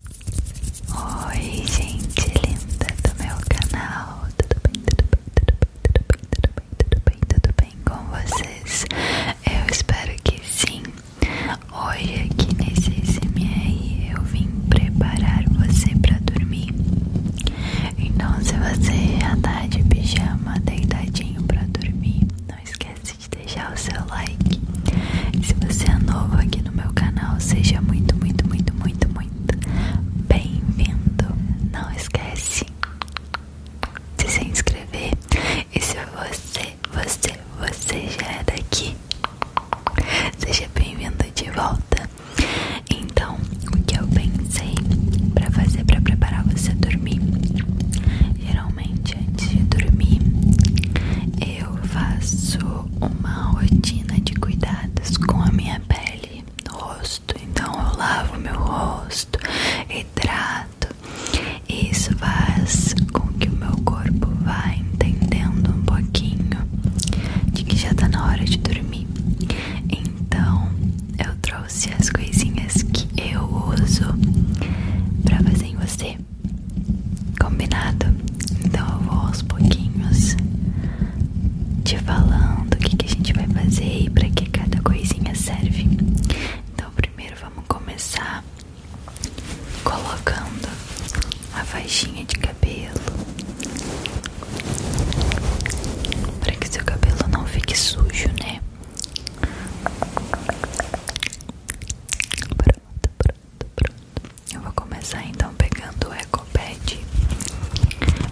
Oi, gente linda do meu canal, tudo bem, tudo bem, tudo bem, tudo bem, tudo bem, tudo bem, tudo bem com vocês? Eu espero que sim. Hoje aqui nesse SMR eu vim preparar você para dormir. Então, se você já tá de pijama deitadinho para dormir, não esquece de deixar o seu like. E se você é novo aqui no meu canal, seja muito, muito, muito, muito, muito bem-vindo. Não esquece de se inscrever. E se você, você, você já é daqui, seja bem-vindo de volta. Então, o que eu pensei para fazer para preparar você dormir? Geralmente antes de dormir eu faço uma rotina de cuidados com a minha pele, rosto. Então eu lavo meu rosto, hidrato. E isso faz com que o meu corpo vá entendendo um pouquinho de que já tá na hora de dormir. Então eu trouxe as coisinhas que eu uso pra fazer em você. Combinado? Então eu vou aos pouquinhos te falando o que, que a gente vai fazer e pra que cada coisinha serve. Então primeiro vamos começar colocando a faixinha de cabelo para que seu cabelo não fique sujo, né? tá pronto, pronto. Eu vou começar então pegando o Eco Pad.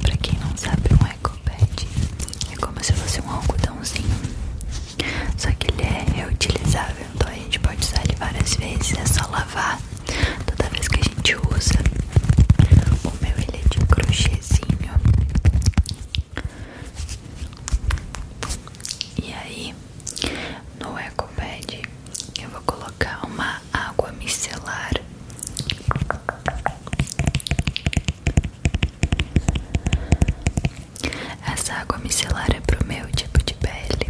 Pra quem não sabe, um Eco é como se fosse um algodãozinho. Só que ele é reutilizável, então a gente pode usar ele várias vezes, é só lavar toda vez que a gente usa. O meu ele é de crochêzinho. E aí, no EcoPad eu vou colocar uma água micelar Essa água micelar é pro meu tipo de pele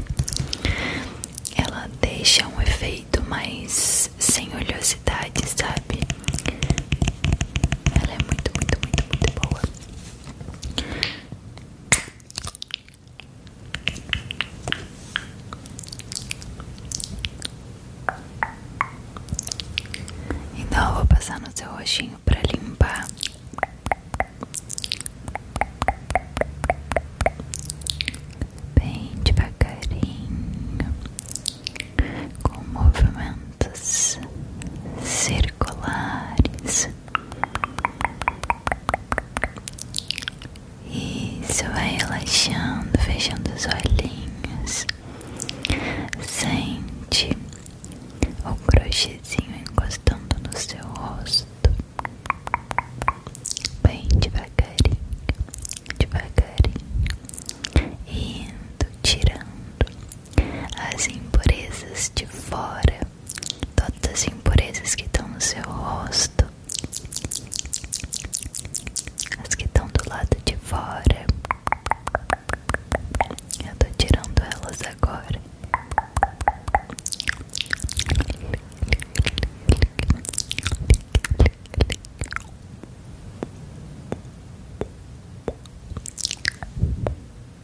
Ela deixa um efeito mais sem oleosidade, sabe? Ela é muito, muito, muito, muito boa então vou passar no seu roxinho para limpar. Bem devagarinho, com movimentos circulares circulares. Isso, vai relaxando, fechando os olhinhos. Sente o crochêzinho encostando no seu rosto. Bem devagarinho, devagarinho. Indo, tirando as impurezas de fora, todas as impurezas que estão no seu rosto, as que estão do lado de fora. Eu tô tirando elas agora. Agora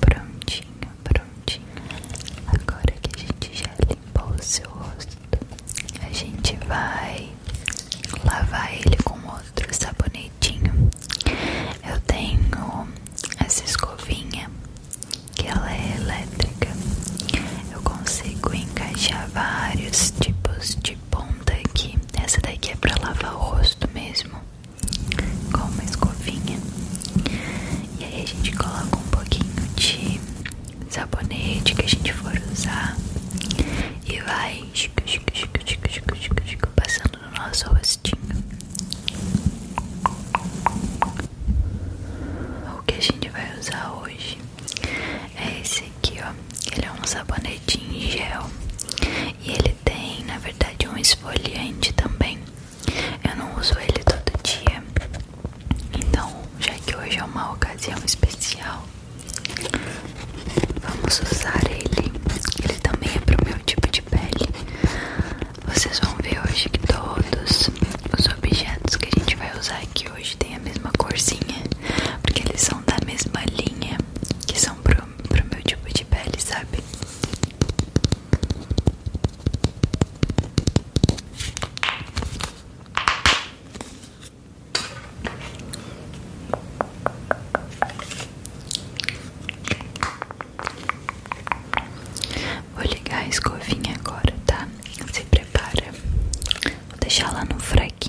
Prontinho, prontinho. Agora que a gente já limpou o seu rosto, a gente vai lavar ele com outro sabonetinho. Eu tenho essa escovinha que ela é elétrica. Eu consigo encaixar vários tipos de ponta aqui. Essa daqui é para lavar o rosto mesmo, com uma escovinha. E aí a gente coloca um pouquinho de sabonete que a gente for usar e vai Passando no nosso rostinho. O que a gente vai usar hoje é esse aqui, ó. Ele é um sabonete em gel. E ele tem, na verdade, um esfoliante também. Eu não uso ele todo dia. Então, já que hoje é uma ocasião especial, Vamos usar ele. Ele também é pro meu tipo de pele. Vocês vão ver hoje que todos os objetos que a gente vai usar aqui hoje tem a mesma corzinha, porque eles são da mesma linha, que são pro, pro meu tipo de pele, sabe? Vou ligar a escovinha agora, tá? Se prepara. Vou deixar lá no fraquinho.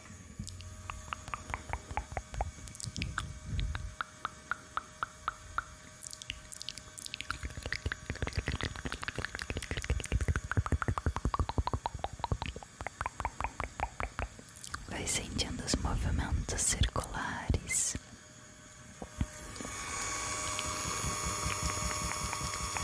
Vai sentindo os movimentos circulares.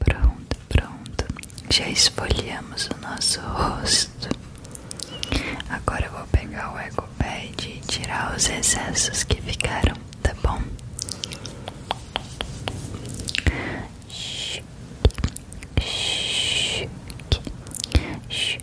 Pronto, pronto. Já esfoliamos o nosso rosto. Agora eu vou pegar o EcoPad e tirar os excessos que ficaram, tá bom? Chique, chique,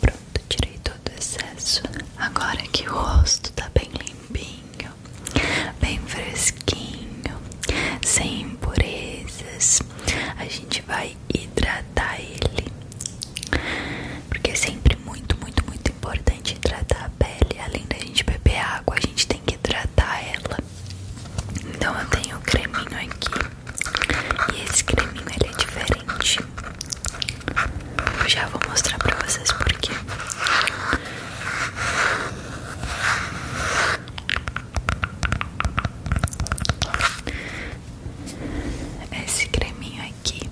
Pronto, tirei todo o excesso. Agora que o rosto tá bem limpinho, bem fresquinho, sem impurezas, a gente vai hidratar ele porque é sempre muito, muito, muito importante hidratar a pele. Além da gente beber água, a gente tem que hidratar ela. Então eu tenho o creminho aqui. E esse creminho ele é diferente. Eu já vou mostrar pra vocês porque. Esse creminho aqui.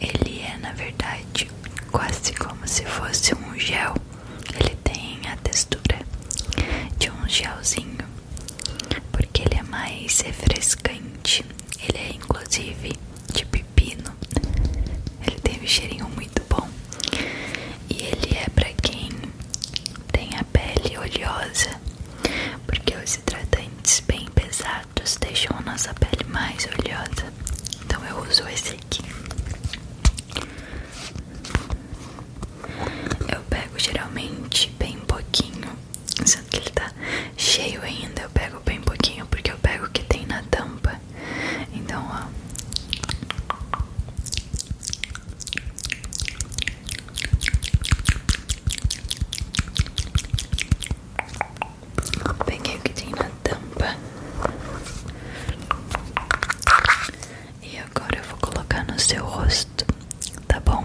Ele é, na verdade, quase como se fosse um gel. Ele tem a textura de um gelzinho, porque ele é mais refrescante. Ele é, inclusive, de pepino. Ele tem um cheirinho muito bom. E ele é para quem tem a pele oleosa, porque os esses hidratantes bem pesados deixam a nossa pele mais oleosa. Então eu uso esse aqui. Eu pego geralmente bem pouquinho, sendo que ele tá cheio ainda, eu pego bem pouquinho porque eu pego o que tem na tampa. Então, ó. Peguei o que tem na tampa E agora eu vou colocar no seu rosto Tá bom?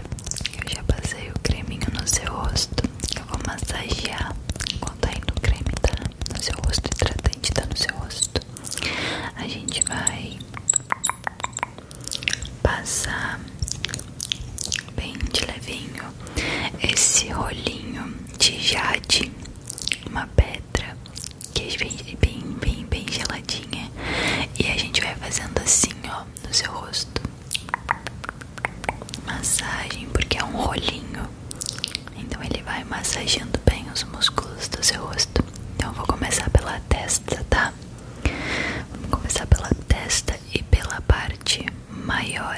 eu já passei o creminho no seu rosto. Eu vou massagear enquanto ainda tá o creme tá no seu rosto, o hidratante tá no seu rosto. A gente vai passar bem de levinho esse rolinho de jade, uma pedra que é bem, bem, bem, bem geladinha. E a gente vai fazendo assim, ó, no seu rosto massagem, porque é um rolinho, então ele vai massageando bem os músculos do seu rosto. Então eu vou começar pela testa, tá? Vamos começar pela testa e pela parte maior.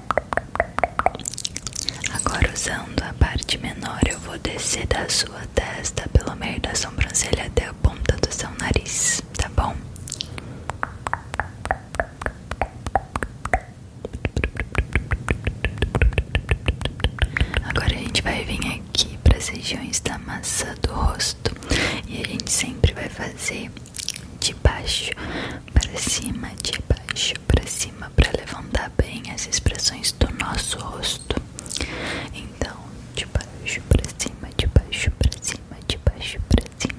Agora usando a parte menor, eu vou descer da sua testa pelo meio da sobrancelha até a ponta do seu nariz, tá bom? Agora a gente vai vir aqui para as regiões da massa do rosto e a gente sempre vai fazer de baixo para cima, de baixo pra cima para levantar bem as expressões do nosso rosto. Então, de baixo para cima, de baixo para cima, de baixo para cima.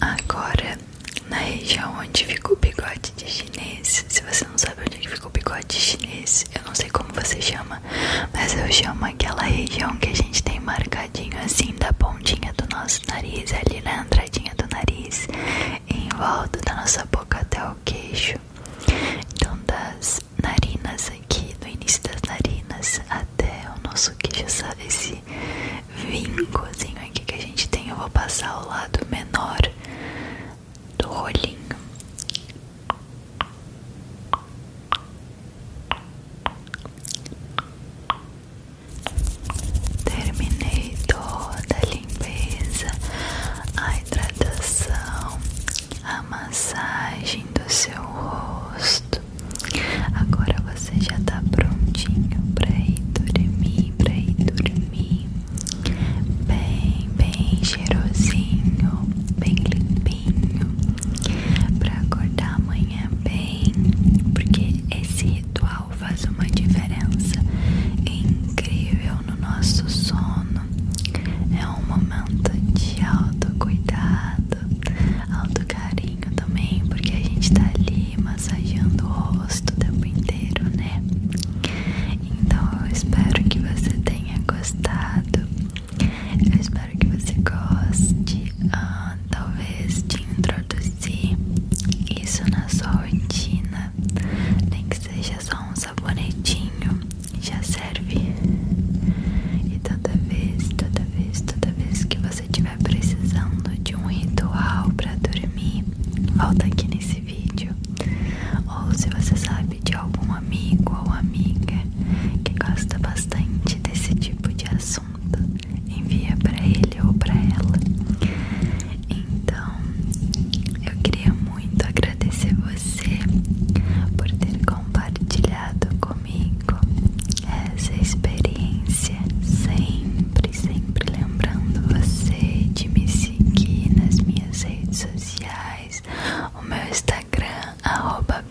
Agora, na região onde ficou o bigode de chinês, se você não sabe onde é ficou o bigode de chinês, eu não sei como você chama, mas eu chamo aquela região que a gente tem marcadinho assim da pontinha do nosso nariz, ali na entradinha do nariz, em volta da nossa boca até limpar queixo. Então, das narinas aqui, do início das narinas até o nosso queixo, sabe? Esse vincozinho aqui que a gente tem, eu vou passar o lado menor do rolinho. Terminei toda a limpeza, a hidratação, a massagem do seu rosto. Agora você já tá prontinho para ir dormir, para ir dormir. Bem, bem cheirosinho, bem limpinho, para acordar amanhã bem, porque esse ritual faz uma diferença incrível no nosso sono. É um momento de alto cuidado, alto carinho também, porque a gente tá ali massageando o rosto o tempo inteiro, né? Então eu espero que você tenha gostado. Eu espero que você goste. Ah, talvez de introduzir isso na sua rotina nem que seja só um sabonetinho, já serve. E toda vez, toda vez, toda vez que você estiver precisando de um ritual para dormir, volta aqui nesse vídeo. Ou se você sabe de algum amigo ou amiga que gosta bastante desse tipo de assunto, envia para ele ou para ela. Então, eu queria muito agradecer você por ter compartilhado comigo essa experiência, sempre, sempre lembrando você de me seguir nas minhas redes sociais, o meu Instagram, arroba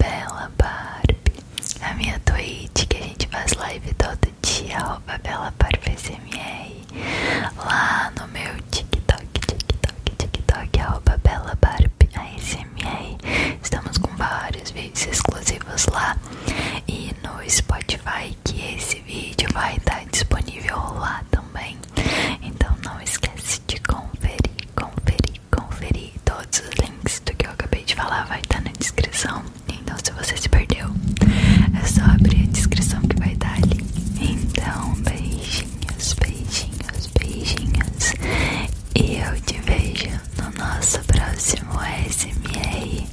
a minha Twitch, que a gente faz live toda todo dia, arroba belabarfsmr, lá no meu TikTok, TikTok, TikTok, arroba belabarfsmr. Estamos com vários vídeos exclusivos lá e no Spotify que esse vídeo vai estar tá disponível lá também. Então não esquece de conferir, conferir, conferir. Todos os links do que eu acabei de falar vai estar tá na descrição. Então, se você se perdeu, é só abrir a descrição que vai estar ali. Então, beijinhos, beijinhos, beijinhos. E eu te vejo no nosso próximo SMR.